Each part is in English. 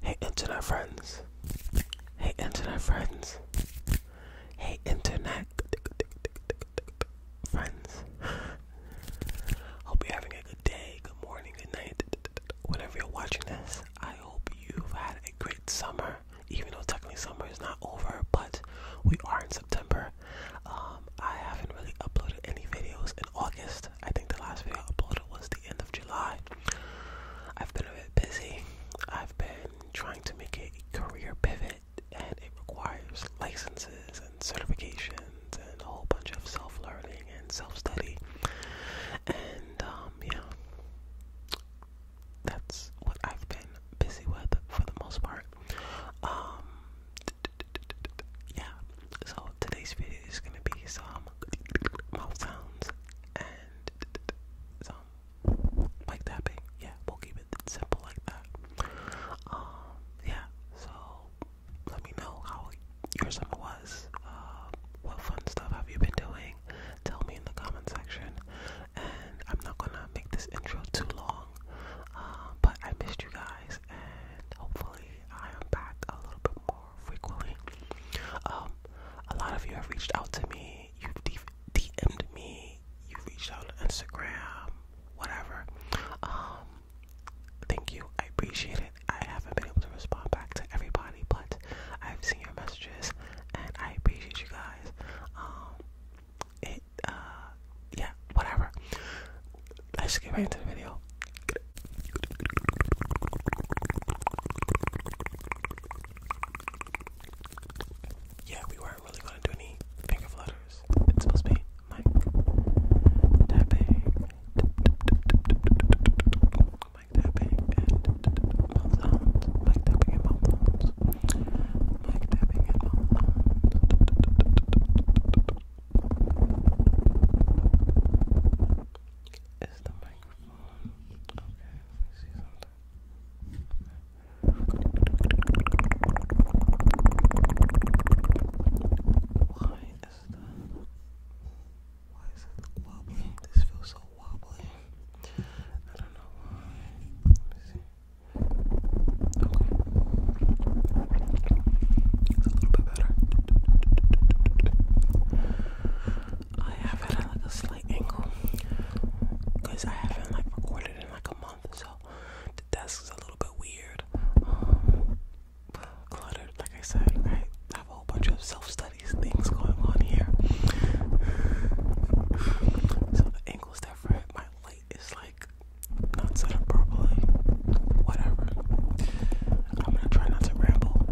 Hey, internet friends. Hey, internet friends. Hey, internet friends. Hope you're having a good day, good morning, good night. Whenever you're watching this, I hope you've had a great summer. Even though technically summer is not over, but we are in September um, I haven't really uploaded any videos in August. I think the last video I uploaded was the end of July. I've been a bit busy. I've been trying to make a career pivot, and it requires licenses and certifications and a whole bunch of self learning and self study. And, um, yeah, that's what I've been busy with for the most part. Um, yeah, so today's video is gonna be some mouth sounds and some mic tapping. Yeah, we'll keep it simple like that. Um, yeah, so let me know how your summer was. Uh, what fun stuff have you been doing? Tell me in the comment section. And I'm not gonna make this intro too long, uh, but I missed you guys and hopefully I am back a little bit more frequently. Um, a lot of you have reached out to me, you've DM'd me, you've reached out on Instagram, whatever. Um, thank you, I appreciate it. I haven't been able to respond back to everybody, but I've seen your messages and I appreciate you guys. Um, it uh, yeah, whatever. Let's get back into the video. Yeah, we weren't really gonna do any finger flutters. It's supposed to be mic tapping, mic tapping, and mouth sounds, tapping and mouth sounds, tapping is the microphone okay? Let me see something. Why is the why is it wobbling? This feels so wobbly. I don't know why. It's a little bit better. I have it at like a slight angle because I haven't like recorded in like a month, so the desk is a little bit weird, um, cluttered. Like I said, I have a whole bunch of self-studies things going on here, so the angle's different. My it's like not set up properly. Whatever. I'm gonna try not to ramble.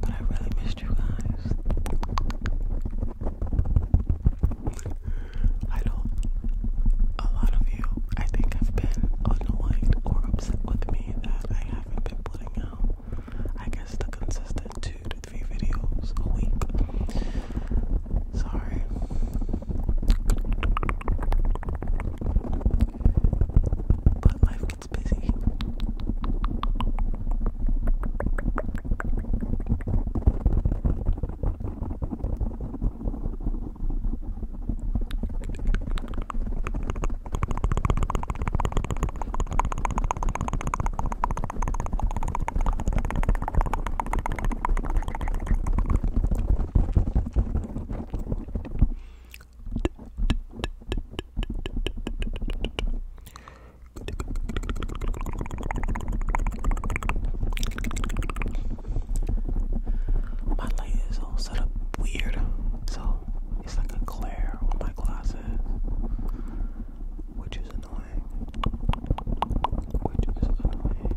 But I really missed you guys. I know a lot of you, I think, have been annoyed or upset with me that I haven't been putting out I guess the consistent two to three videos a week. Sorry. But life gets busy. My light is all set up weird, so it's like a glare on my glasses, which is annoying. Which is annoying.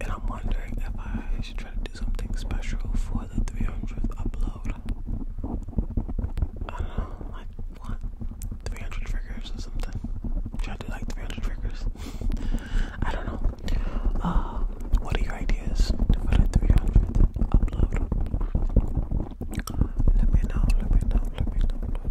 And I'm wondering if I should try to do something special for the 300th upload. I don't know, like what? 300 triggers or something? Try to do like 300 triggers? I don't know. Uh, what are your ideas for the 300th upload? Let me know, let me know, let me know,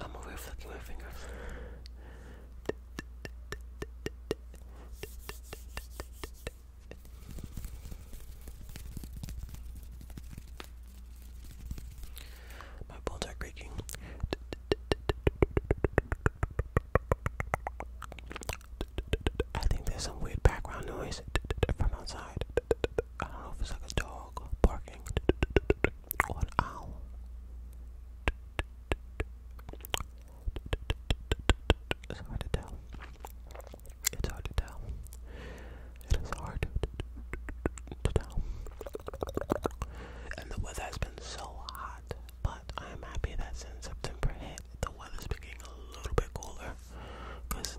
I'm over flicking my fingers. My bones are creaking. I think there's some weird background noise from outside. I don't know if it's like a dog barking or an owl. It's to tell. It's hard to tell. It is hard to tell. And the weather has been so hot, but I am happy that since September hit, the weather's getting a little bit cooler. Because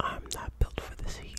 I'm not built for this heat.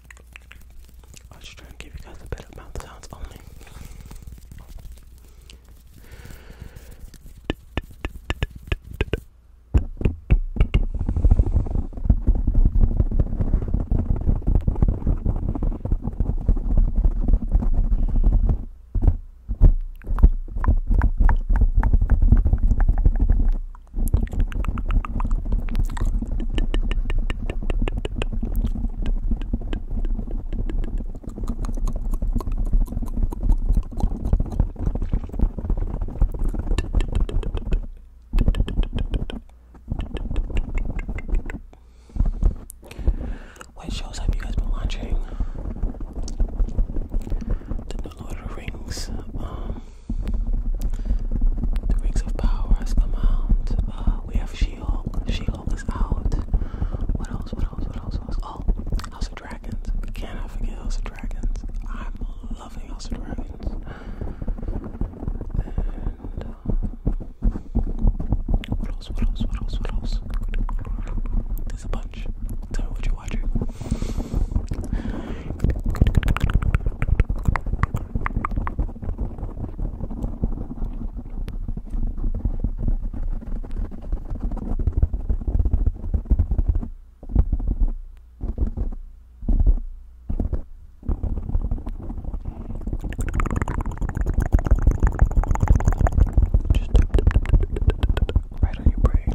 I will just try and give you guys a bit of mouth sounds only. What shows have you guys been watching? The Lord of the Rings, um, The Rings of Power has come out. Uh, we have She-Hulk. She-Hulk is out. What else? What else? What else? What else? Oh, House of Dragons. Can I forget House of Dragons? I'm loving House of Dragons. And uh, what else? What else? What else? What else? There's a bunch. Tell me what you're watching. Just right on your brain.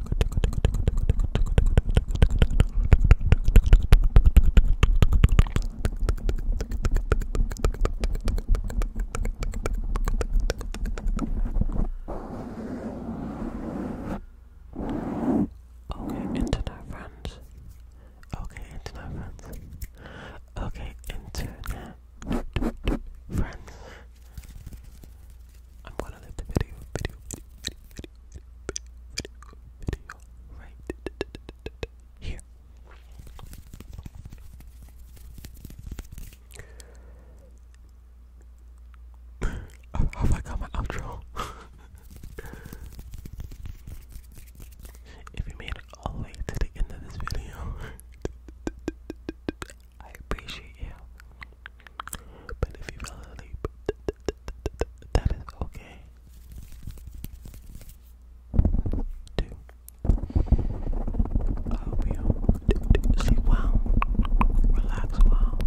Okay, internet friends. Okay, internet friends. Okay, internet friends. I'm gonna leave the video, video, video, video, video, video, video, right here. oh, oh my my outro. if you made it all the way to the end of this video, I appreciate you. But if you fell asleep, that is okay. Two. sleep well, relax well,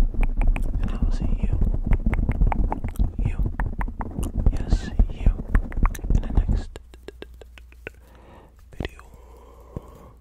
and I will see you, you, yes, you, in the next video.